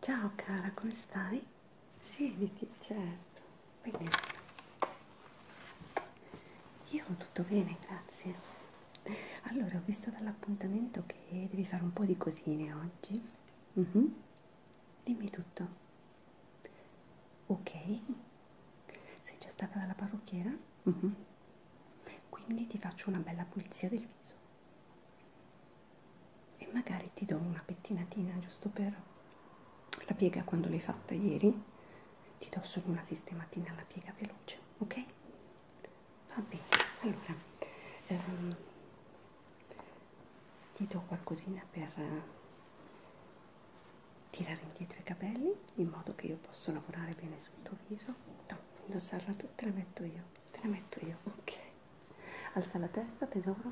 Ciao cara, come stai? Siediti, certo. Bene. Io tutto bene, grazie. Allora, ho visto dall'appuntamento che devi fare un po' di cosine oggi. Mm -hmm. Dimmi tutto. Ok. Sei già stata dalla parrucchiera? Mm -hmm. Quindi ti faccio una bella pulizia del viso e magari ti do una pettinatina giusto per la piega quando l'hai fatta ieri ti do solo una sistematina alla piega veloce ok va bene allora ehm, ti do qualcosina per eh, tirare indietro i capelli in modo che io possa lavorare bene sul tuo viso no, indossarla tu te la metto io te la metto io ok alza la testa tesoro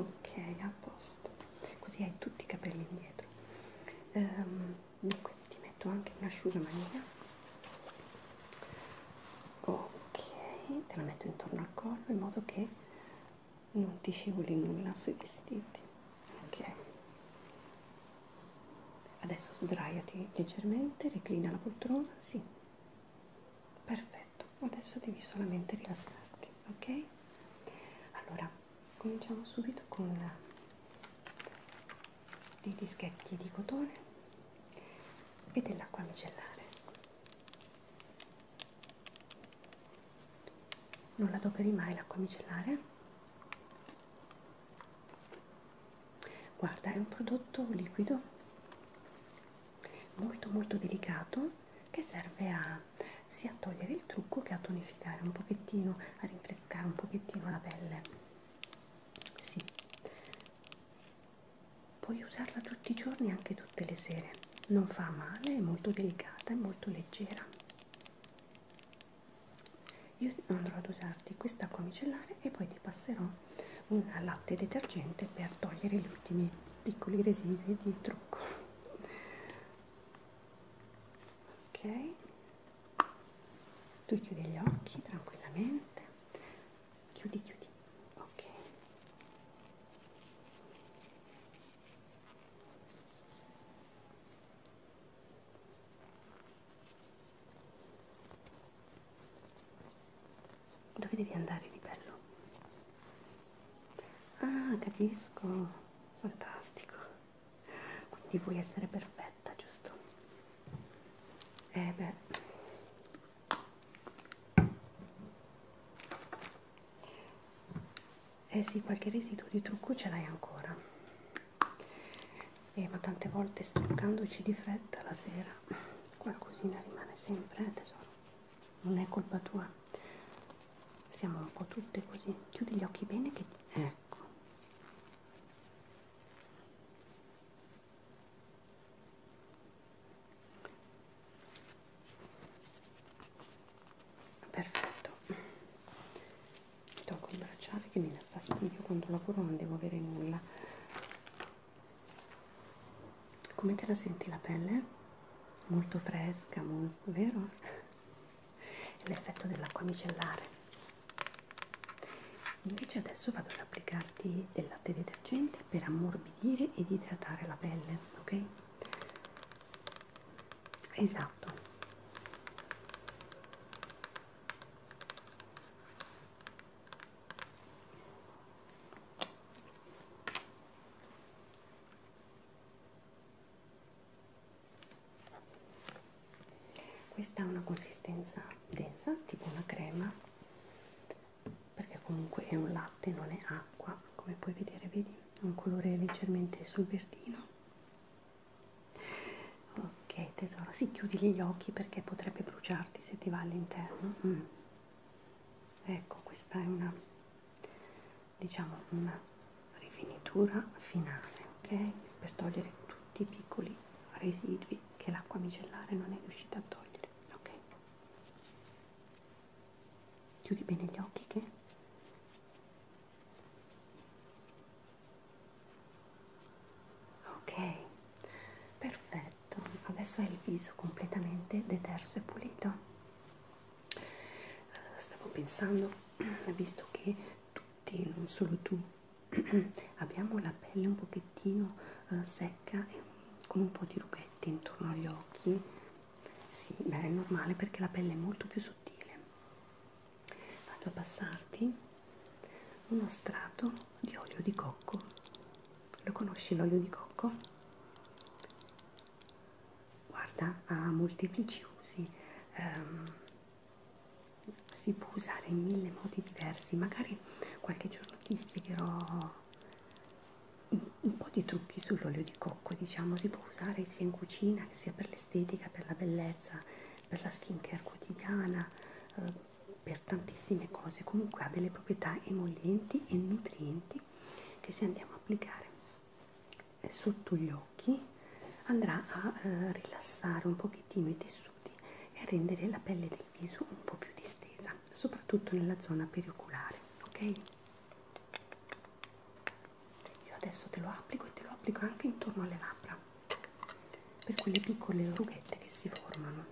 ok a posto così hai tutti i capelli indietro ehm, dunque ti metto anche un asciugamanina ok te la metto intorno al collo in modo che non ti scivoli nulla sui vestiti ok adesso sdraiati leggermente reclina la poltrona sì perfetto adesso devi solamente rilassarti ok allora cominciamo subito con dei dischetti di cotone e dell'acqua micellare non la adoperi mai l'acqua micellare guarda è un prodotto liquido molto molto delicato che serve a sia a togliere il trucco che a tonificare un pochettino, a rinfrescare un pochettino la pelle. Sì. Puoi usarla tutti i giorni e anche tutte le sere. Non fa male, è molto delicata, è molto leggera. Io andrò ad usarti questa comicellare e poi ti passerò un latte detergente per togliere gli ultimi piccoli residui di trucco ok tu chiudi gli occhi tranquillamente chiudi chiudi ok dove devi andare di bello? Ah, capisco, fantastico. Quindi vuoi essere perfetta, giusto? Eh beh. Eh sì, qualche residuo di trucco ce l'hai ancora. Eh, ma tante volte struccandoci di fretta la sera qualcosina rimane sempre, eh, tesoro non è colpa tua siamo un po' tutte così chiudi gli occhi bene che ecco perfetto tocco il bracciale che mi dà fastidio quando lavoro non devo avere nulla come te la senti la pelle? Molto fresca, molto, vero? L'effetto dell'acqua micellare. Invece adesso vado ad applicarti del latte detergente per ammorbidire ed idratare la pelle, ok? Esatto. Questa ha una consistenza densa, tipo una crema, perché comunque è un latte, non è acqua, come puoi vedere, vedi? Ha un colore leggermente sul verdino. Ok tesoro, si chiudi gli occhi perché potrebbe bruciarti se ti va all'interno. Mm ecco questa è una diciamo una rifinitura finale ok per togliere tutti i piccoli residui che l'acqua micellare non è riuscita a togliere ok chiudi bene gli occhi che ok perfetto fatto adesso hai il viso completamente deterso e pulito eh, stavo pensando visto che tutti non solo tu abbiamo la pelle un pochettino uh, secca e con un po' di rubetti intorno agli occhi sì beh è normale perché la pelle è molto più sottile vado a passarti uno strato di olio di cocco lo conosci l'olio di cocco? Guarda, ha molteplici usi, ehm, si può usare in mille modi diversi, magari qualche giorno ti spiegherò un, un po' di trucchi sull'olio di cocco, diciamo, si può usare sia in cucina sia per l'estetica, per la bellezza, per la skin care quotidiana, eh, per tantissime cose comunque ha delle proprietà emollienti e nutrienti che se andiamo a applicare eh, sotto gli occhi andrà a eh, rilassare un pochettino i tessuti e a rendere la pelle del viso un po' più distesa soprattutto nella zona perioculare ok io adesso te lo applico e te lo applico anche intorno alle labbra per quelle piccole rughette che si formano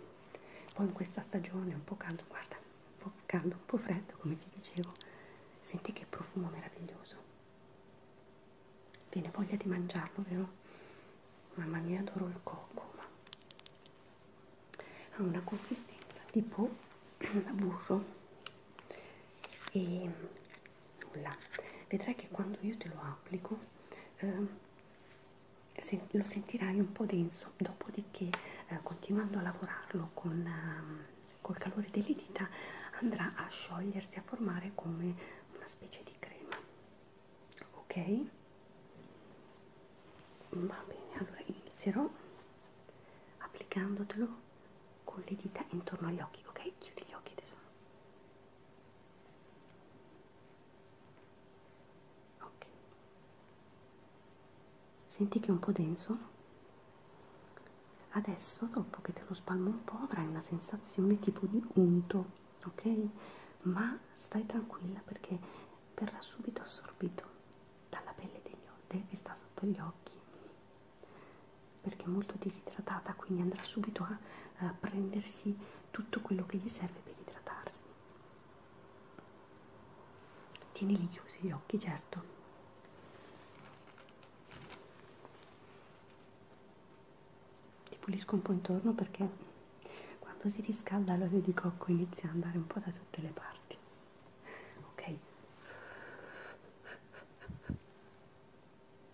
poi in questa stagione è un po' caldo guarda un po' caldo, un po' freddo, come ti dicevo, senti che profumo meraviglioso. Viene voglia di mangiarlo, vero? Mamma mia, adoro il cocco. Ma... Ha una consistenza tipo burro e nulla. Vedrai che quando io te lo applico eh, lo sentirai un po' denso, dopodiché eh, continuando a lavorarlo con, ehm, col calore delle dita andrà a sciogliersi, a formare come una specie di crema. Ok? Va bene, allora inizierò applicandotelo con le dita intorno agli occhi, ok? Chiudi gli occhi tesoro ok senti che è un po' denso adesso dopo che te lo spalmo un po' avrai una sensazione tipo di unto ok ma stai tranquilla perché verrà subito assorbito dalla pelle degli occhi che sta sotto gli occhi perché è molto disidratata quindi andrà subito a, a prendersi tutto quello che gli serve per idratarsi Tienili chiusi gli occhi, certo. Ti pulisco un po' intorno perché quando si riscalda l'olio di cocco inizia ad andare un po' da tutte le parti. Ok?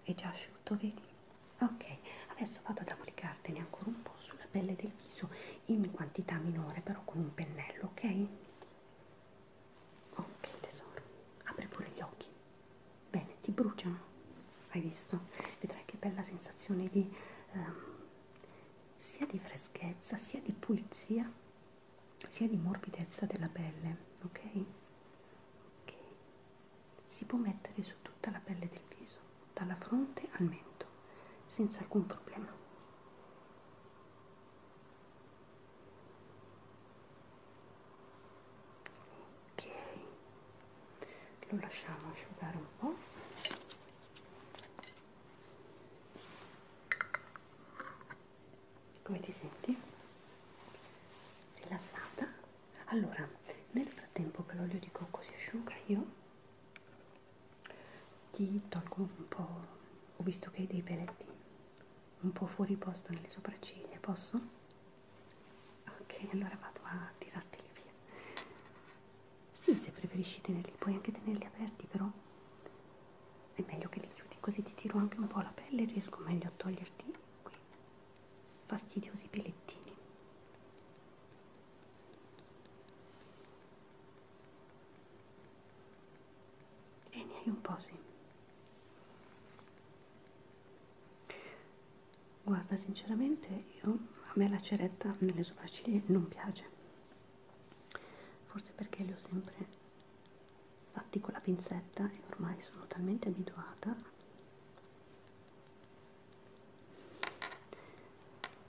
È già asciutto, vedi? Ok, adesso vado ad applicartene ancora un po' sulla pelle del viso in quantità minore però con un pennello ok ok tesoro apri pure gli occhi bene ti bruciano hai visto vedrai che bella sensazione di ehm, sia di freschezza sia di pulizia sia di morbidezza della pelle ok ok si può mettere su tutta la pelle del viso dalla fronte al mento senza alcun problema ok lo lasciamo asciugare un po' come ti senti? rilassata? allora nel frattempo che l'olio di cocco si asciuga io ti tolgo un po', ho visto che hai dei peletti un po' fuori posto nelle sopracciglia, posso? Ok, allora vado a tirarteli via. Sì, se preferisci tenerli, puoi anche tenerli aperti, però è meglio che li chiudi così ti tiro anche un po' la pelle e riesco meglio a toglierti quei fastidiosi pelettini. E ne hai un po' sì. Guarda, sinceramente io, a me la ceretta nelle sopracciglia non piace. Forse perché le ho sempre fatti con la pinzetta e ormai sono talmente abituata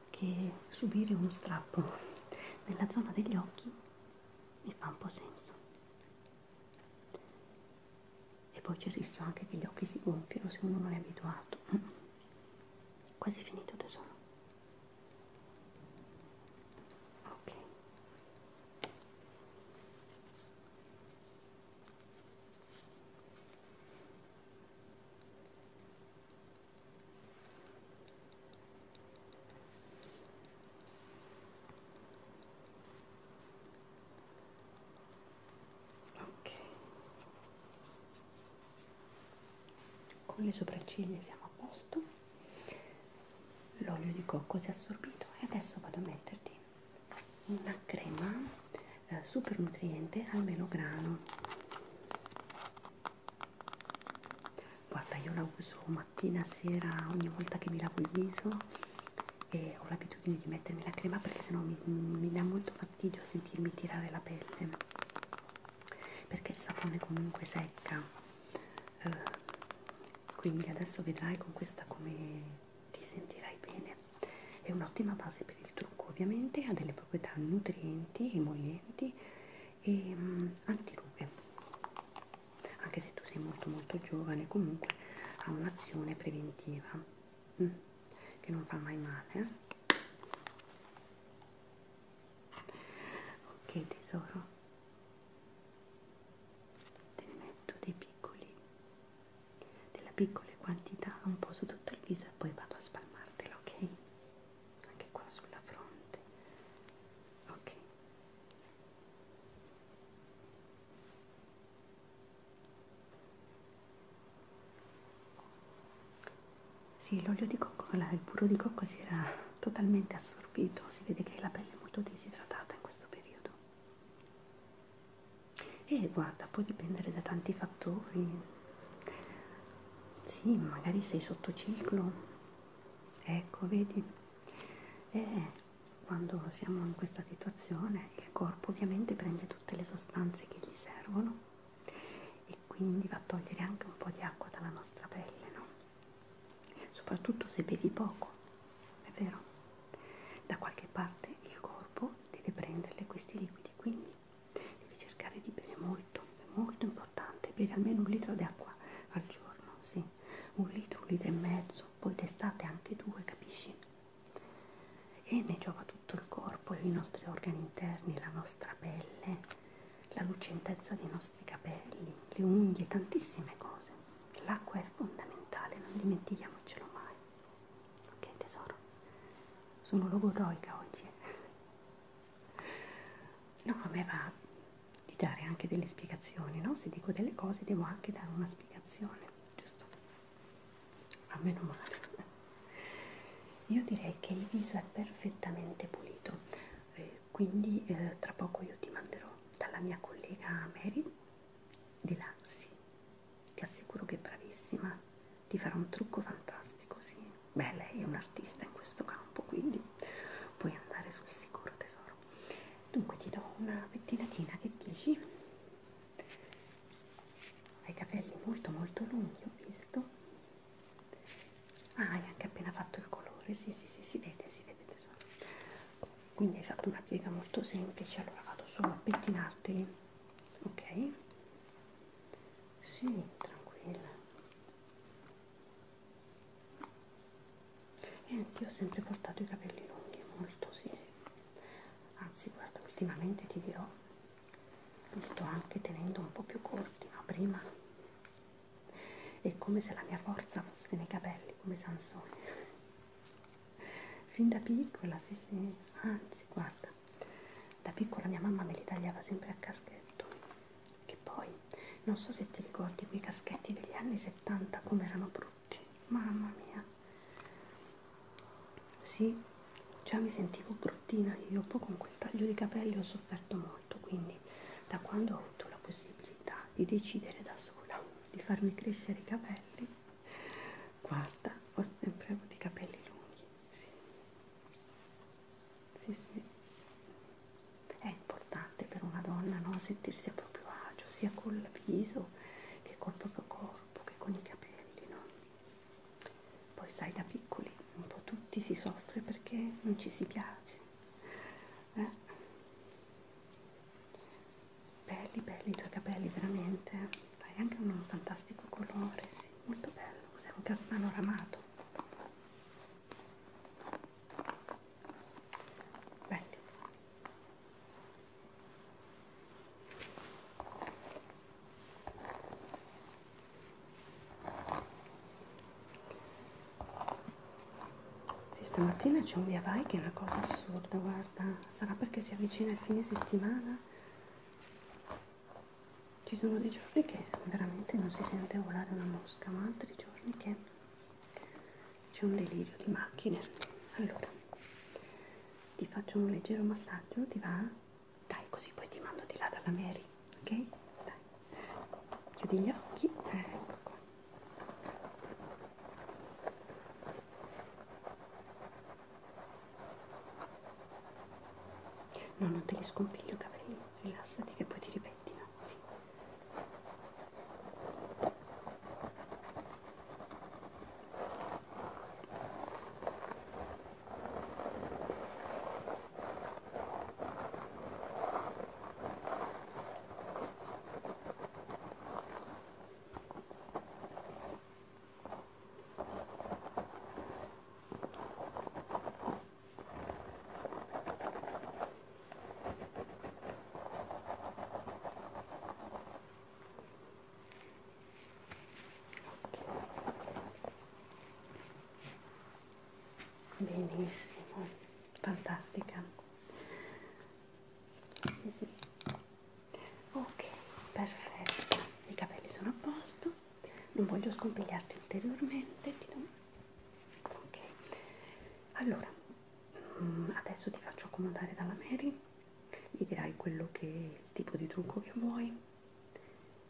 che subire uno strappo nella zona degli occhi mi fa un po' senso e poi c'è il rischio anche che gli occhi si gonfiano se uno non è abituato quasi finito tesoro ok ok con le sopracciglia siamo a posto l'olio di cocco si è assorbito e adesso vado a metterti una crema eh, super nutriente al melograno guarda io la uso mattina sera ogni volta che mi lavo il viso e ho l'abitudine di mettermi la crema perché sennò mi, mi dà molto fastidio sentirmi tirare la pelle perché il sapone comunque secca eh, quindi adesso vedrai con questa come ti sentirai bene è un'ottima base per il trucco ovviamente ha delle proprietà nutrienti emolienti e mh, mm, antirughe anche se tu sei molto molto giovane comunque ha un'azione preventiva mh, mm, che non fa mai male eh? ok tesoro te ne metto dei piccoli della piccola quantità un po' su tutto il viso e poi vado a spalmartelo ok anche qua sulla fronte ok sì l'olio di cocco il burro di cocco si era totalmente assorbito si vede che la pelle è molto disidratata in questo periodo e guarda può dipendere da tanti fattori sì magari sei sotto ciclo Ecco, vedi? E eh, quando siamo in questa situazione il corpo ovviamente prende tutte le sostanze che gli servono e quindi va a togliere anche un po' di acqua dalla nostra pelle, no? Soprattutto se bevi poco, è vero? Da qualche parte il corpo deve prenderle questi liquidi, quindi devi cercare di bere molto, è molto importante importante bere almeno un litro d'acqua al giorno, sì, un litro, un litro e mezzo, poi d'estate anche due, capisci? E ne giova tutto il corpo, i nostri organi interni, la nostra pelle, la lucentezza dei nostri capelli, le unghie, tantissime cose. L'acqua è fondamentale, non dimentichiamocelo mai. Ok tesoro, sono logoroica oggi. Eh. No, a me va di dare anche delle spiegazioni, no? Se dico delle cose devo anche dare una spiegazione, giusto? Ma meno male. Io direi che il viso è perfettamente pulito, eh, quindi eh, tra poco io ti manderò dalla mia collega Mary di Lazzi. Ti assicuro che è bravissima, ti farà un trucco fantastico, sì beh lei è un artista in questo campo quindi puoi andare sul sicuro tesoro dunque ti do una pettinatina che dici hai capelli molto molto lunghi ho visto ah hai anche appena fatto il colore sì sì sì si vede si vede tesoro quindi hai fatto una piega molto semplice allora vado solo a pettinarteli ok sì tranquilla e anch'io ho sempre portato i capelli lunghi molto sì, sì anzi guarda ultimamente ti dirò mi sto anche tenendo un po' più corti ma prima è come se la mia forza fosse nei capelli come Sansone fin da piccola sì sì anzi guarda da piccola mia mamma me li tagliava sempre a caschetto che poi non so se ti ricordi quei caschetti degli anni 70 come erano brutti, mamma mia. Sì, già mi sentivo bruttina io, poi con quel taglio di capelli ho sofferto molto, quindi da quando ho avuto la possibilità di decidere da sola di farmi crescere i capelli, guarda, ho sempre avuto i capelli lunghi, sì sì, sì. È importante per una donna no? sentirsi a proprio agio, sia col viso che col proprio corpo, che con i capelli, no? Poi sai, da piccoli un po' tutti si soffre perché non ci si piace. Eh? Belli, belli i tuoi capelli, veramente. Eh? Hai anche un fantastico colore, sì, molto bello. Cos'è un castano ramato? belli sì, stamattina c'è un via vai che è una cosa assurda guarda sarà perché si avvicina il fine settimana ci sono dei giorni che veramente non si sente volare una mosca ma altri giorni che c'è un delirio di macchine allora ti faccio un leggero massaggio ti va? dai così poi ti mando di là dalla Mary ok? dai chiudi gli occhi eh, ecco qua no non te li sconfiglio i capelli rilassati che poi ti ripettina sì. Ecco benissimo fantastica sì sì ok perfetto i capelli sono a posto non voglio scompigliarti ulteriormente ti do ok allora mm, adesso ti faccio accomodare dalla Mary mi dirai quello che il tipo di trucco che vuoi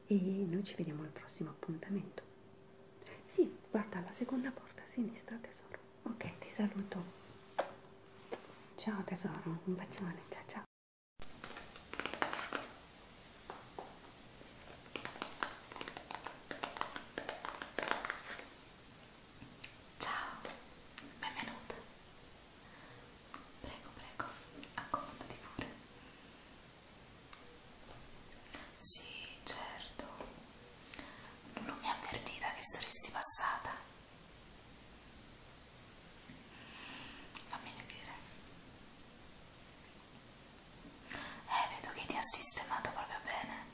e noi ci vediamo al prossimo appuntamento sì guarda la seconda porta a sinistra tesoro ok ti saluto ciao tesoro un bacione ciao ciao Ciao, benvenuta. Prego, prego, accomodati pure. Sì, certo. Non mi ha avvertita che saresti passata. Fammi vedere. Eh, vedo che ti ha sistemato proprio bene.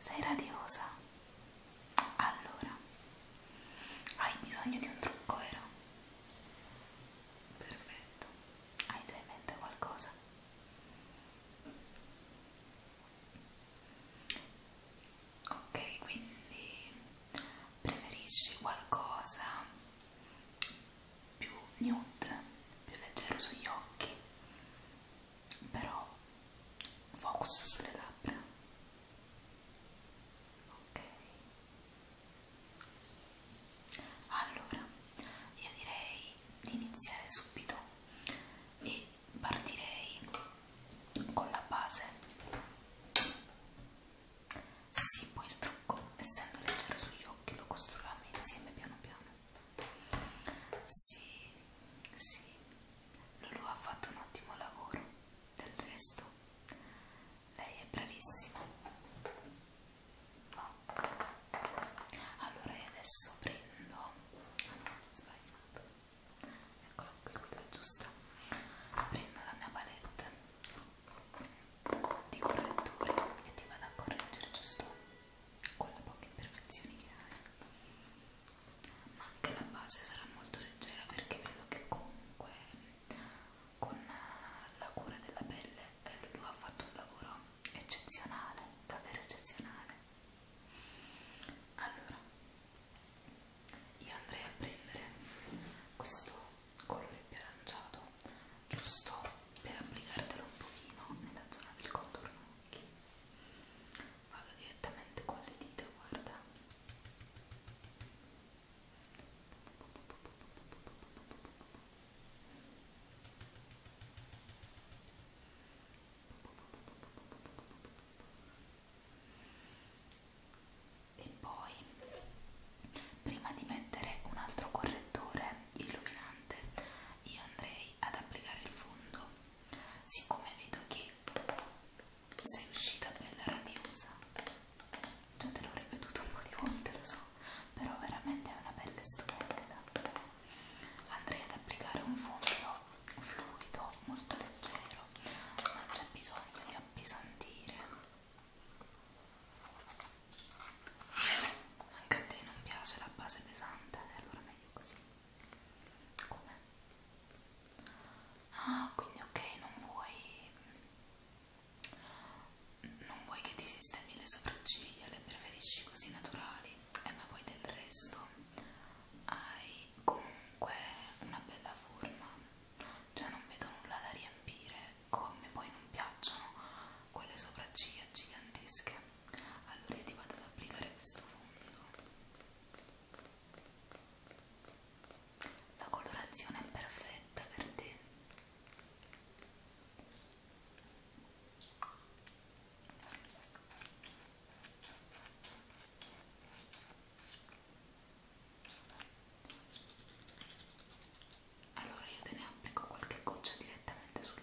Sei radiosa? Allora, hai bisogno di un trucco, vero? Perfetto, hai già in mente qualcosa? Ok, quindi preferisci qualcosa più nude, più leggero sugli occhi, però focus sulle labbra. Ok. Allora, io direi di iniziare subito e partirei con la base. Sì, poi il trucco, essendo leggero sugli occhi, lo costruiamo insieme piano piano. Sì, sì, Lulu ha fatto un ottimo lavoro, del resto lei è bravissima. No. Allora io adesso prendo... Ah, sbagliato. Eccola qui, quella giusta. Prendo la mia palette di correttore e ti vado a correggere, giusto? con le poche imperfezioni che hai ma anche la base sarà molto leggera perché vedo che comunque con eh, la cura della pelle eh, lui ha fatto un lavoro eccezionale davvero eccezionale allora io andrei a prendere questo colore più aranciato giusto per applicartelo un pochino nella zona del contorno occhi vado direttamente con le dita guarda e poi prima di mettere un altro correttore illuminante io andrei andrei ad applicare il fondo siccome vedo che sei uscita bella radiosa già te l'ho ripetuto un po' di volte lo so però veramente è una pelle stupenda andrei ad applicare un fondo fluido molto leggero non c'è bisogno di appesantire anche a te non piace la base pesante eh, allora meglio così come ah quindi ok non vuoi mm, non vuoi che ti sistemi le sopracciglia le preferisci così naturali e eh, ma poi del resto hai comunque una bella forma cioè non vedo nulla da riempire come poi non piacciono quelle sopracciglia gigantesche allora io ti vado ad applicare questo fondo la colorazione è perfetta per te allora io te ne applico qualche goccia direttamente sul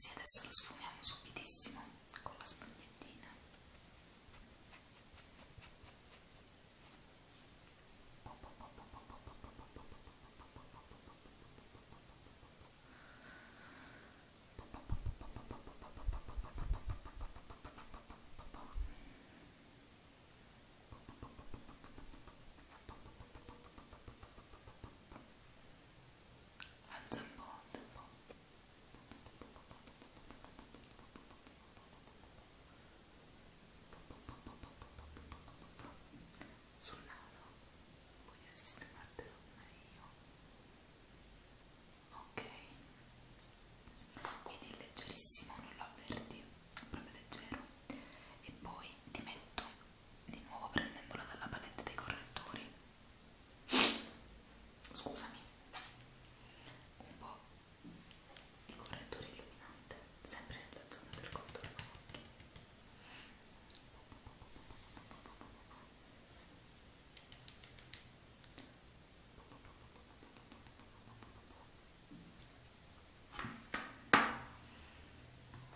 Sì, adesso lo sfumiamo subitissimo con la spagnettina. Ecco alza un po', alza un po' sul naso voglio sistemartelo meglio ok vedi leggerissimo non lo avverti proprio leggero e poi ti metto di nuovo prendendola dalla palette dei correttori scusami un po' di correttore illuminante sempre nella zona del contorno occhi ok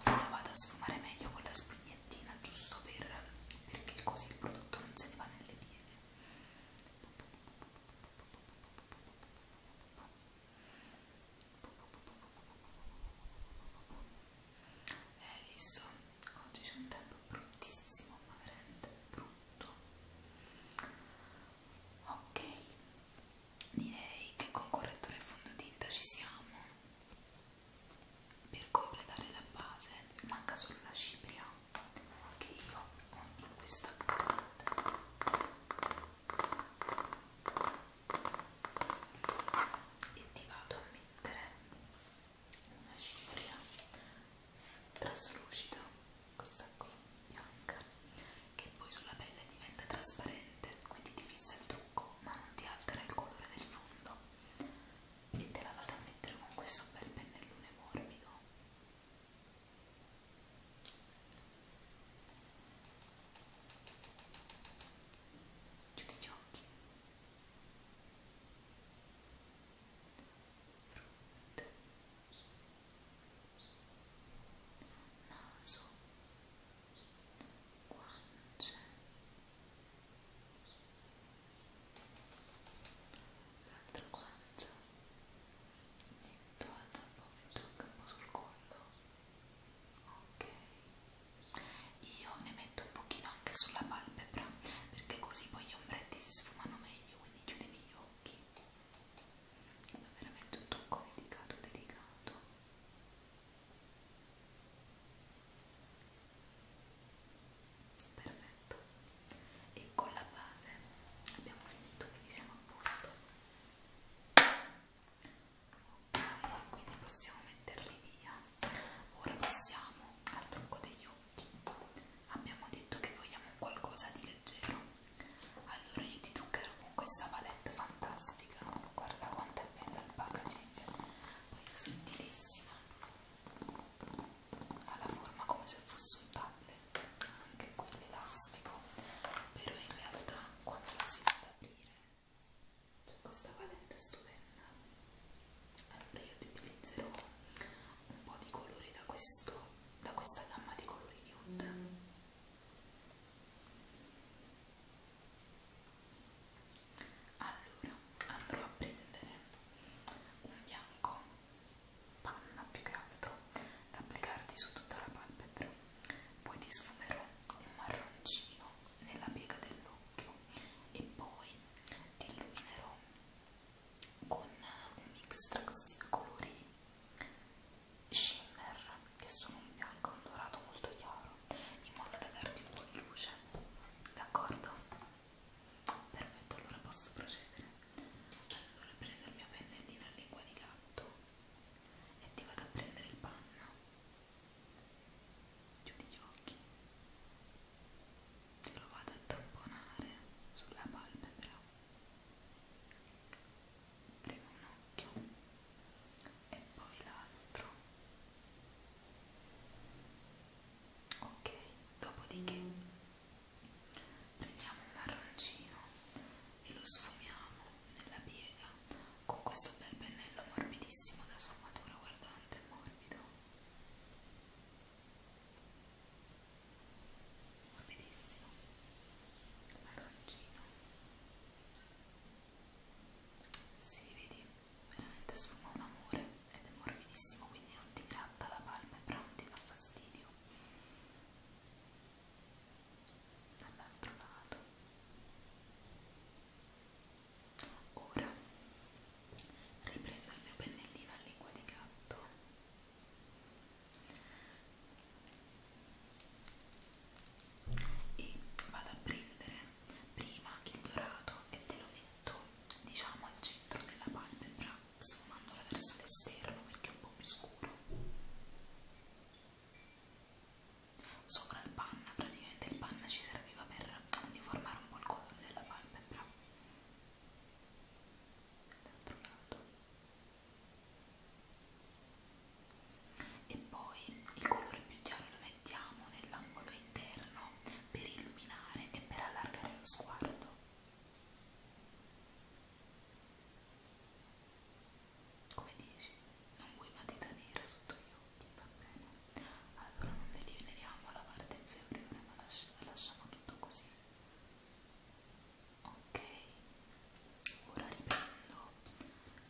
io vado a sfumare meglio con la spugnettina giusto per, perché così il prodotto non se ne va nelle pieghe. Hai eh, visto? Oggi c'è un tempo bruttissimo, ma veramente brutto. Ok, direi che con correttore e fondotinta ci siamo per completare la base manca solo la cipria che io ho in questa parte e ti vado a mettere una cipria traslucida questa qui bianca che poi sulla pelle diventa trasparente quindi ti fissa il trucco ma non ti altera il colore del fondo e te la vado a mettere con questo bel pennellone morbido chiudi gli occhi Frutta naso guance l'altra guancia tu alza un po' e tocca un po' sul collo ok io ne metto un pochino anche sulla palpebra perché così poi gli ombretti si sfumano meglio quindi chiudimi gli occhi è veramente un tocco delicato delicato perfetto e con la base abbiamo finito quindi siamo a posto ok quindi possiamo metterli via ora passiamo al trucco degli occhi abbiamo detto che vogliamo qualcosa di leggero allora io ti truccherò con questa palette fantastica guarda quanto è bello il packaging poi è sottilissima ha la forma come se fosse un tablet anche qui l'elastico però in realtà quando la si va ad aprire c'è questa palette stupenda allora io ti utilizzerò un po' di colori da questo da questa gamma di colori nude mm allora andrò a prendere un bianco panna più che altro da applicarti su tutta la palpebra poi ti sfumerò un marroncino nella piega dell'occhio e poi ti illuminerò con un mix tra questi colori shimmer che sono un bianco e un dorato molto chiaro in modo da darti un po' di luce d'accordo? perfetto allora posso procedere allora prendo il mio pennellino a lingua di gatto e ti vado a prendere il panno chiudi gli occhi te lo vado a tamponare sulla palpebra prima un occhio e poi l'altro ok dopodiché prendiamo un marroncino e lo sfumiamo nella piega con questo bel pennello morbidissimo da sfumatura guardante morbido morbidissimo marroncino si sì, vedi veramente sfuma un amore ed è morbidissimo quindi non ti gratta la palpebra non ti dà fastidio dall'altro lato ora riprendo il mio pennellino a lingua di gatto e vado a prendere prima il dorato e te lo metto diciamo al centro della palpebra sfumandola verso l'esterno perché è un po' più scuro sopra il panna praticamente il panna ci serviva per uniformare un po' il colore della palpebra dall'altro lato e poi il colore più chiaro lo mettiamo nell'angolo interno per illuminare e per allargare lo sguardo come dici non vuoi matita nera sotto gli occhi va bene allora non delineiamo la parte inferiore ma lasciamo tutto così ok ok ora riprendo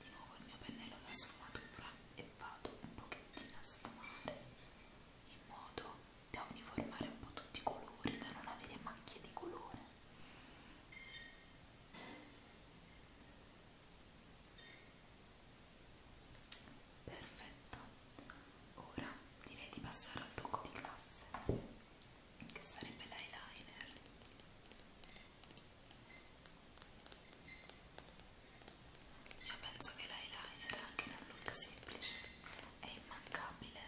di nuovo il mio pennello da sfumatura e vado un pochettino a sfumare in modo da uniformare un po' tutti i colori da non avere macchie di colore perfetto ora direi di passare al tocco di classe che sarebbe l'eyeliner io penso che l'eyeliner anche in un look semplice è immancabile.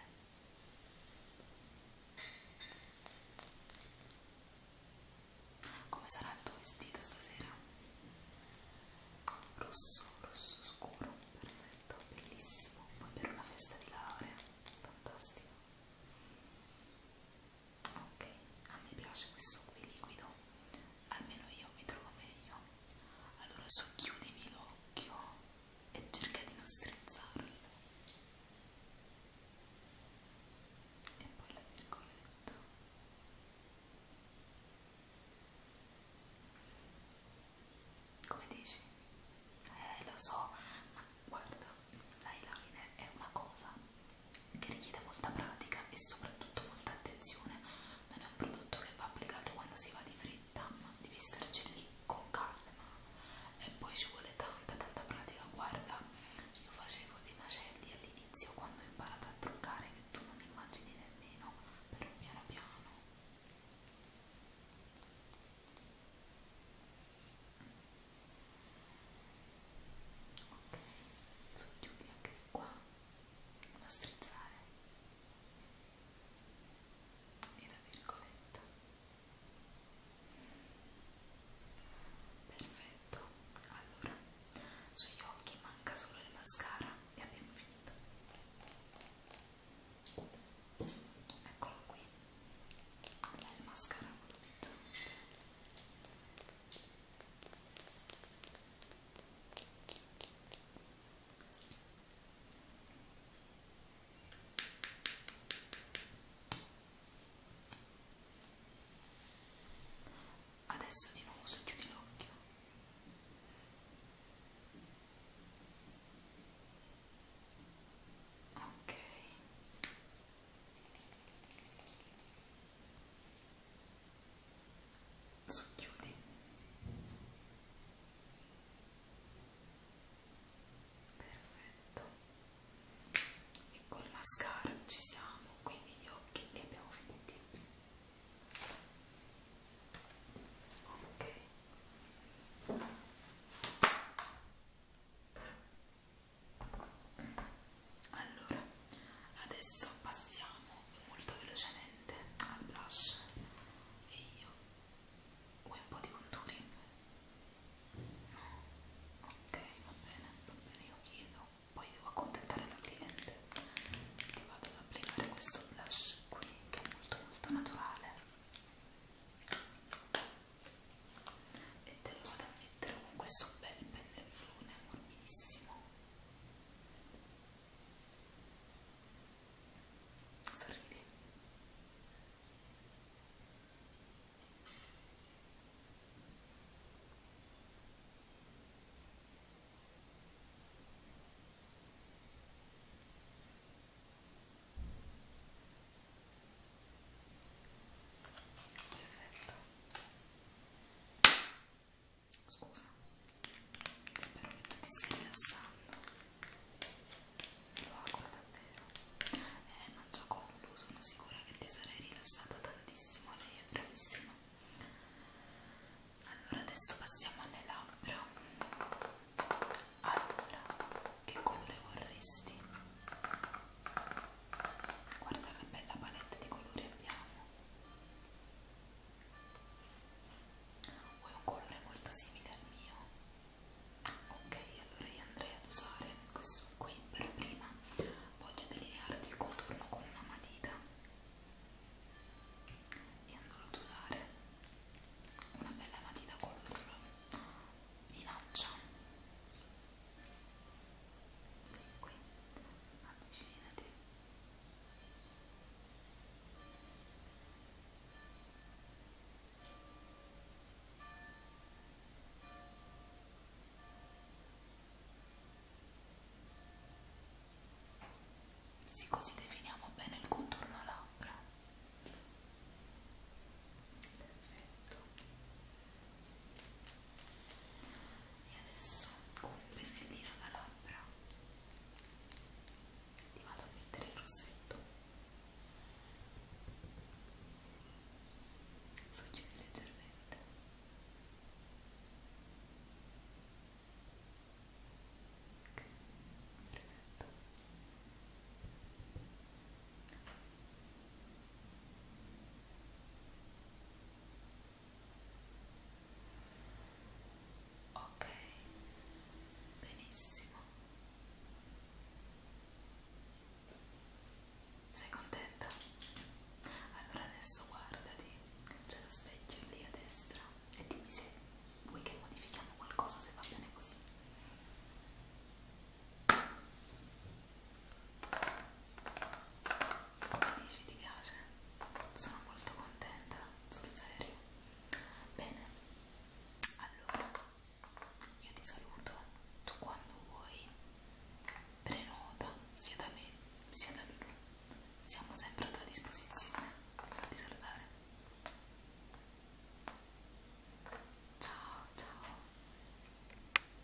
Come sarà il tuo vestito stasera? Rosso, rosso scuro, perfetto, bellissimo. Poi per una festa di laurea, fantastico ok a me piace questo qui liquido almeno io mi trovo meglio allora socchiudimi l'occhio e cerca di non strizzarlo e poi la virgoletta come dici? eh lo so ma guarda, l'eyeliner è una cosa che richiede molta pratica e soprattutto molta attenzione, non è un prodotto che va applicato quando si va di fretta, ma devi starci lì con calma e poi ci vuole tanta tanta pratica, guarda, io facevo dei macelli all'inizio quando ho imparato a truccare che tu non immagini nemmeno, però piano piano ok socchiudi anche di qua uno strizzare e la virgoletta perfetto allora sugli occhi manca solo il mascara e abbiamo finito eccolo qui il mascara utilizzato Adesso di nuovo su chiudi l'occhio. Ok. Socchiudi. Perfetto. E col mascara ci siamo, quindi gli occhi li abbiamo finiti. Ok allora adesso passiamo molto velocemente al blush e io vuoi un po' di contouring? no? ok va bene va bene io chiedo poi devo accontentare la cliente ti vado ad applicare questo blush qui che è molto molto naturale e te lo vado a mettere con questo bel pennellone morbidissimo sorridi perfetto scusa spero che tu ti stia rilassando lo auguro davvero eh mangia collo sono sicura che ti sarei rilassata tantissimo lei è bravissima allora adesso passiamo alle labbra allora che colore vorresti? Guarda che bella palette di colori abbiamo. Vuoi un colore molto simile al mio? Ok, allora io andrei ad usare questo qui per prima. Voglio delinearti il contorno con una matita e andrò ad usare una bella matita color vinaccia qui avvicinati sì, così definiamo bene il contorno labbra perfetto e adesso con un pennellino da labbra ti vado a mettere il rossetto socchiudi leggermente perfetto Ok, benissimo. Sei contenta? Allora adesso guardati, c'è lo specchio lì a destra e dimmi se vuoi che modifichiamo qualcosa se va bene così. Come dici, ti piace? Sono molto contenta, sul serio. Bene, allora io ti saluto. Tu quando vuoi prenota sia da me sia da lui. Siamo sempre a tua disposizione. Fatti salutare. Ciao, ciao.